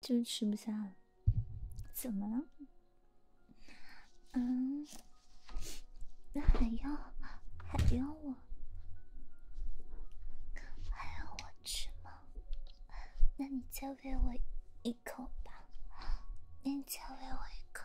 就吃不下了，怎么了？嗯，那还要还要我还要我吃吗？那你再喂我一口吧，你再喂我一口。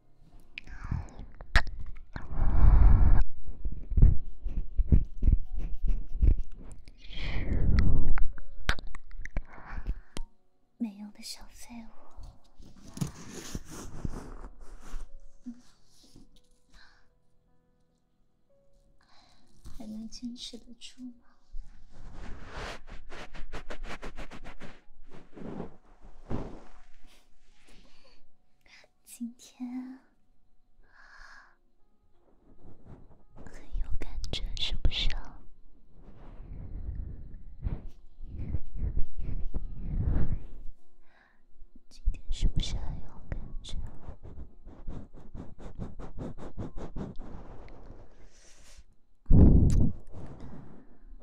没用的小废物，还能坚持得住吗？今天很有感觉，是不是？今天是不是很有感觉？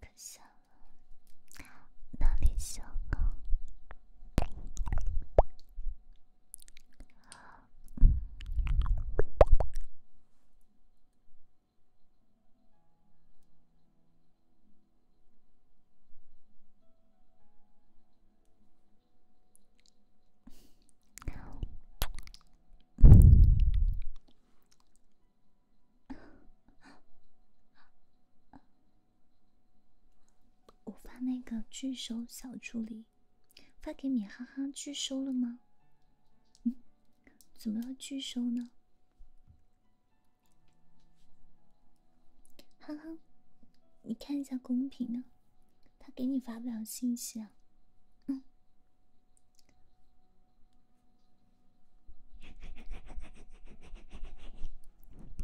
可笑，哪里笑呢？我发那个拒收小助理，发给米哈哈拒收了吗？嗯，怎么要拒收呢？哈哈，你看一下公屏呢，他给你发不了信息啊，嗯。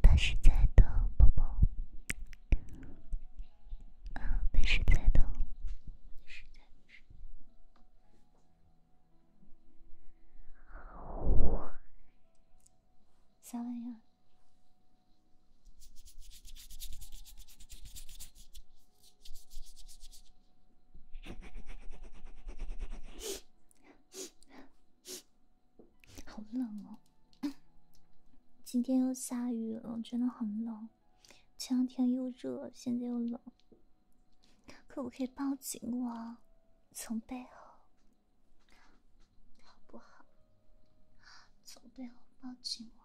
他是在的，宝宝。嗯，他是在的。啥玩意？好冷哦！今天又下雨了，真的很冷。前两天又热，现在又冷。可不可以抱紧我，从背后，好不好？从背后抱紧我。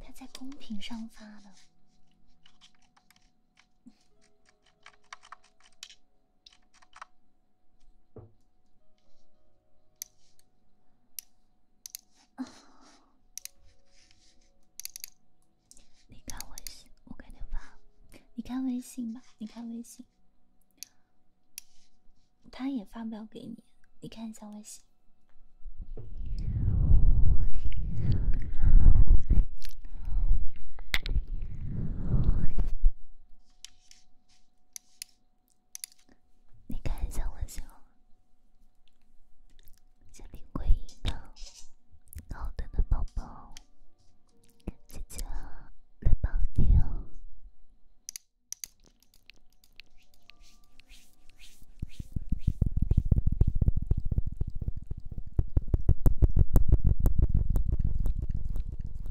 他在公屏上发的。你看微信，我给你发。你看微信吧，你看微信。他也发不了给你，你看一下微信。你看一下微信哦，家庭会议呢，然后等等宝宝，姐姐来帮你哦。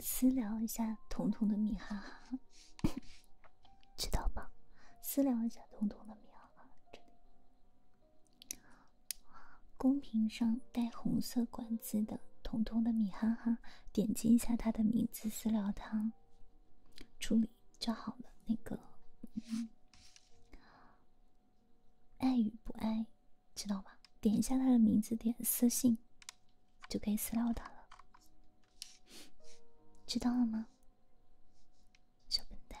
私聊一下彤彤的米哈哈，知道吧？私聊一下彤彤的米哈哈，这里。公屏上带红色管子的彤彤的米哈哈。点击一下他的名字私聊他，处理就好了。那个，爱与不爱，知道吧？点一下他的名字，点私信，就可以私聊他了。知道了吗，小笨蛋？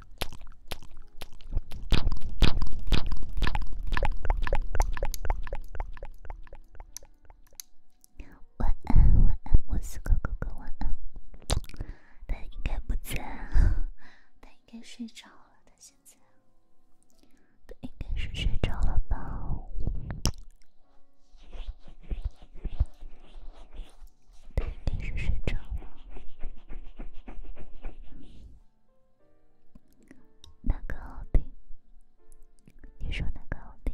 晚安，晚安，莫斯科哥哥，晚安。他应该不在，他应该睡着了，他现在。他应该是睡着了吧？他应该是睡着了。哪个好听？你说哪个好听？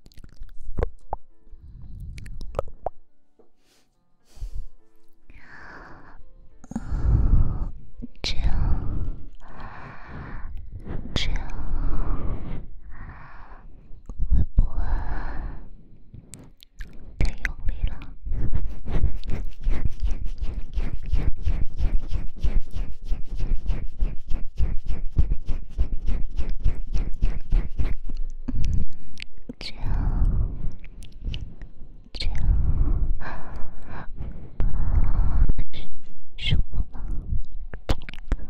这样，这样会不会太用力了？叫叫，舒服吗？叫叫。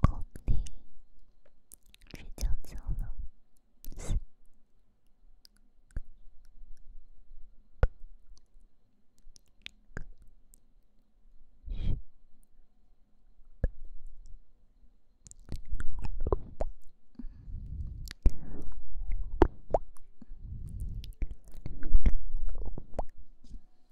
公屏睡觉觉了。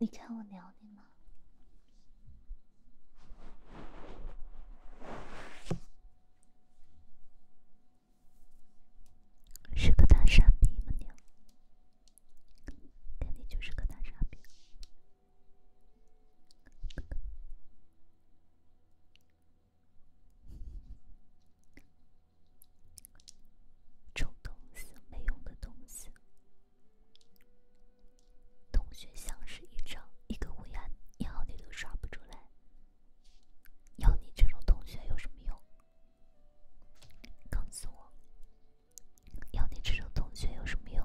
你看我聊你吗？是个大傻逼，吗？娘，肯定就是个大傻逼。这种东西，没用的东西！同学相识一场，一个乌鸦，要你都刷不出来。要你这种同学有什么用？告诉我，要你这种同学有什么用？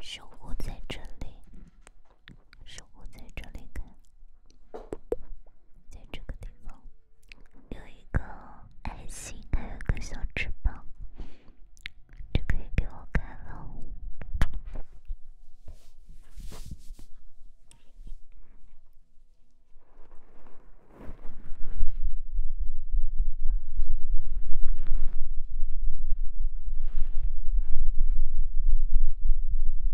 守护在这里。生活在这里看，在这个地方，有一个爱心，还有个小翅膀，就可以给我看喽。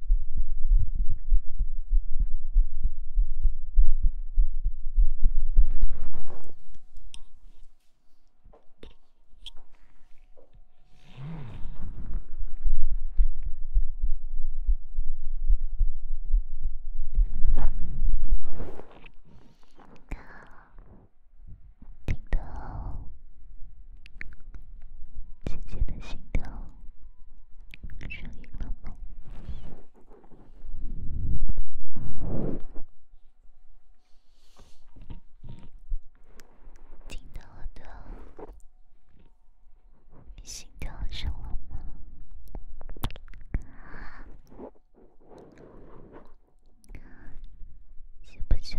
听到姐姐的心跳声音了吗？听到我的心跳声了吗？行不行？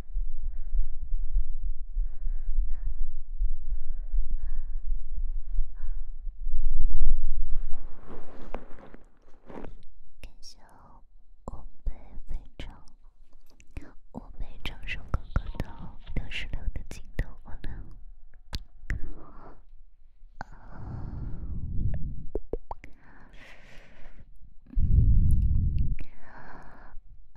感谢我被非常我被张盛哥哥的六十六的镜头功能。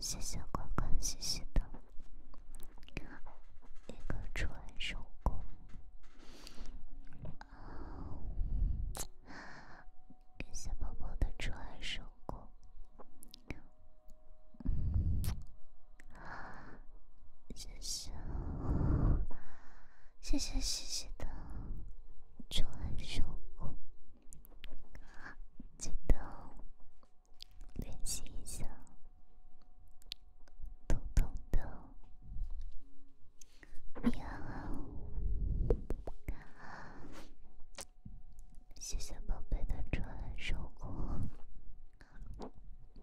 谢谢关关，谢谢的，一个纯手工，感谢宝宝的纯手工。啊！谢谢，谢谢西西的专属歌，记得练习一下，咚咚咚！你好，你好，谢谢宝贝的专属歌。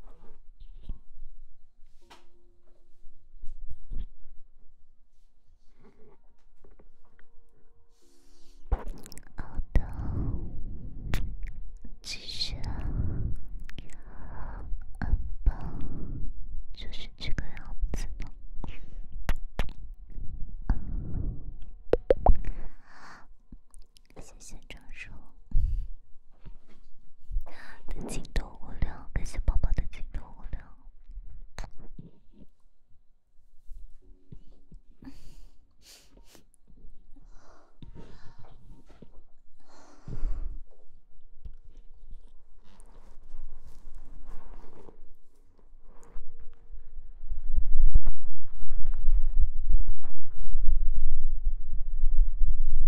好的，继续啊，好吧，就是这个样子了。谢谢张叔的镜头物料，感谢宝宝的镜头物料。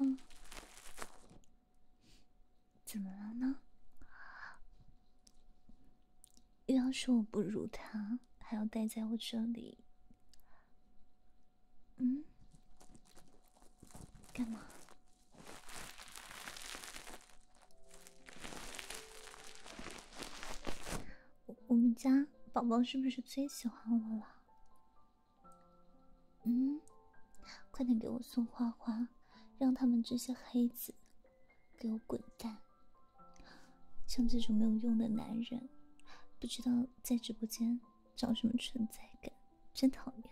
嗯，怎么了呢？又要说我不如他，还要待在我这里，嗯。干嘛？我我们家宝宝是不是最喜欢我了？嗯，快点给我送花花，让他们这些黑子给我滚蛋！像这种没有用的男人，不知道在直播间找什么存在感。真讨厌，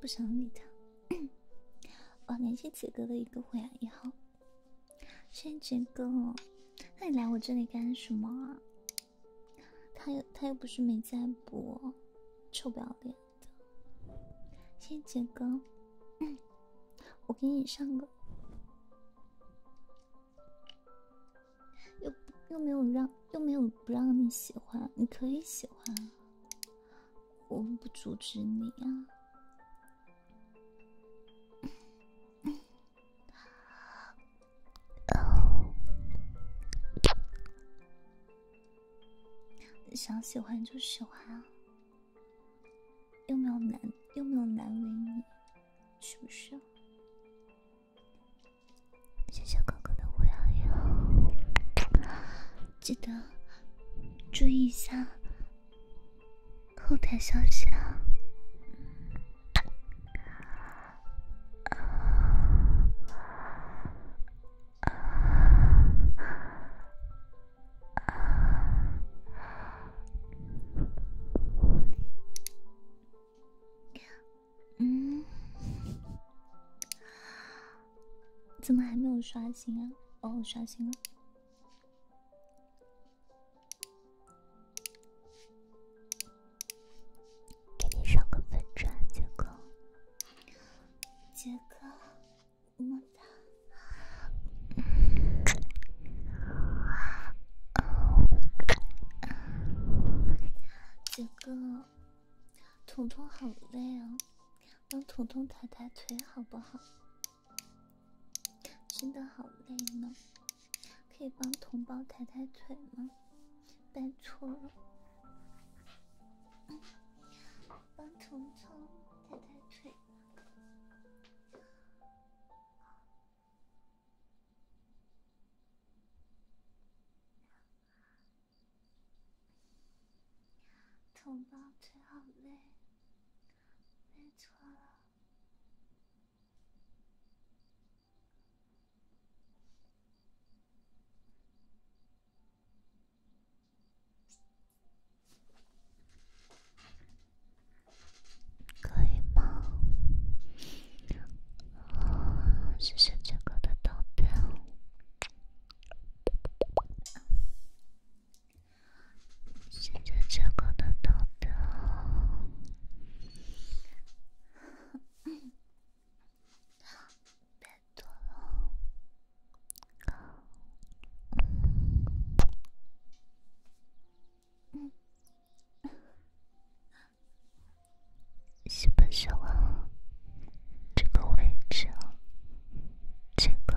不想理他。我感谢杰哥的一个会牙一号。谢谢杰哥，那你来我这里干什么啊？他又他又不是没在播，臭不要脸的。谢谢杰哥。我给你上个，又又没有让，又没有不让你喜欢，你可以喜欢，我不阻止你呀，想喜欢就喜欢啊。又没有难，又没有难为你，是不是？谢谢哥哥的五幺幺，记得注意一下后台消息。啊。嗯，怎么还没有刷新啊？哦，刷新了，给你上个粉砖，杰哥，杰哥，我杰哥，彤彤好累啊，让彤彤抬抬腿好不好？真的好累呢，可以帮同胞抬抬腿吗？拜托了，帮彤彤抬抬腿。同胞，腿好累，累错了。可以吗？啊，现在这个的豆豆，现在这个的豆豆，别做了。嗯，基本写完了。这个位置，这个。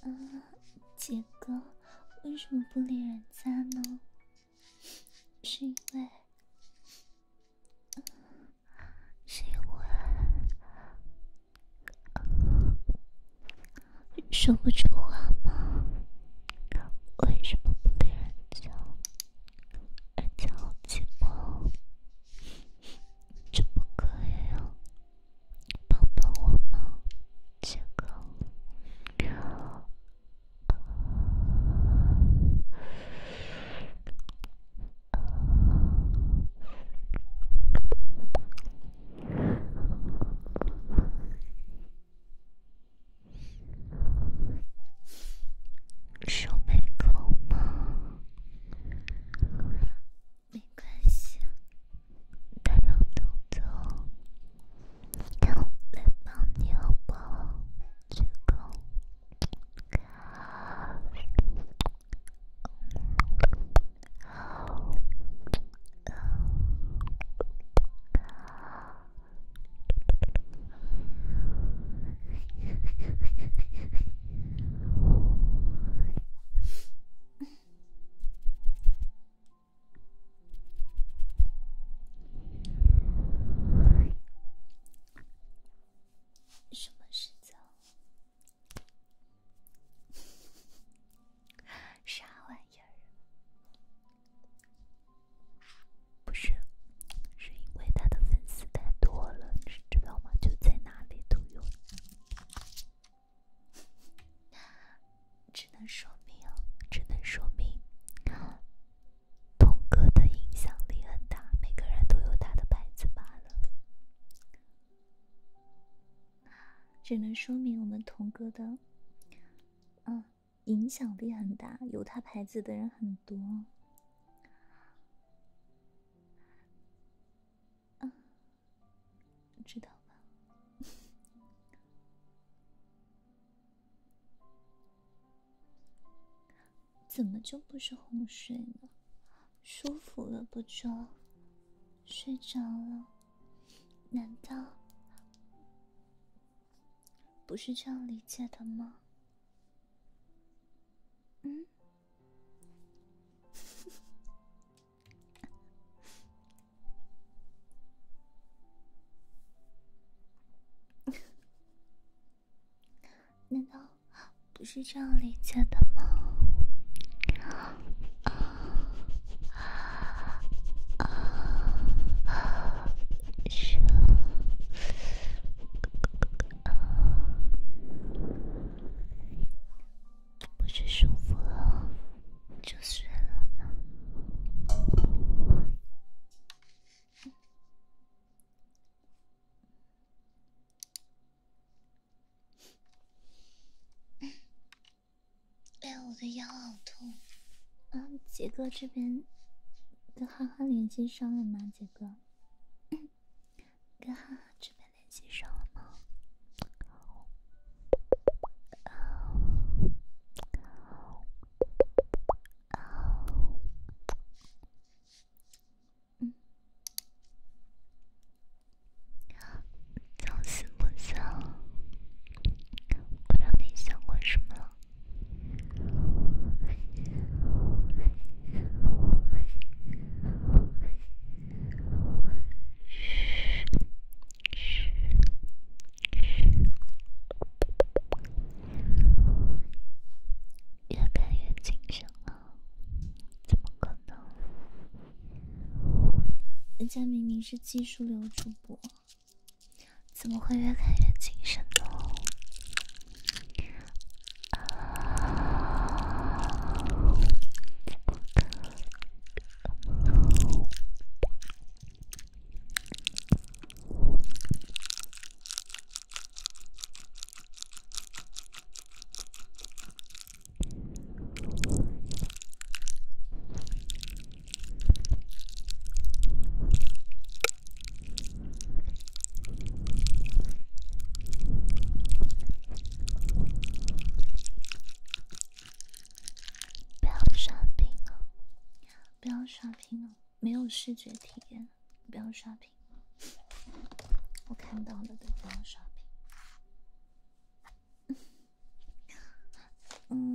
啊，杰哥，为什么不理人家呢？是因为，是因为说不出话吗？为什么不别人叫？人家好奇怪，就不可以呀？抱抱我吗？这个。手没够吗？没关系，代表动作，让我来帮你哦，鞠躬。什么事情？啥玩意？不是，是因为他的粉丝太多了，你知道吗？就在哪里都有，只能说明，只能说明，童哥的影响力很大，每个人都有他的牌子罢了。只能说明我们童哥的，嗯。影响力很大，有他牌子的人很多。嗯，知道吧？怎么就不是哄睡呢？舒服了不就睡着了，难道？不是这样理解的吗？嗯？难道不是这样理解的吗？啊啊啊！舒服，够够够够！不是舒服了就睡了吗？哎呀，我的腰好痛。嗯，杰哥这边跟哈哈联系上了吗？杰哥，跟哈哈这边联系上了吗？啊，啊，啊，嗯，啊，朝思暮想，不知道你想干什么。越看越精神啊！怎么可能？人家明明是技术流主播。怎么会越看越精神呢？不要刷屏了！不要刷屏了！没有视觉体验，不要刷屏。我看到了，对，不要刷屏。嗯。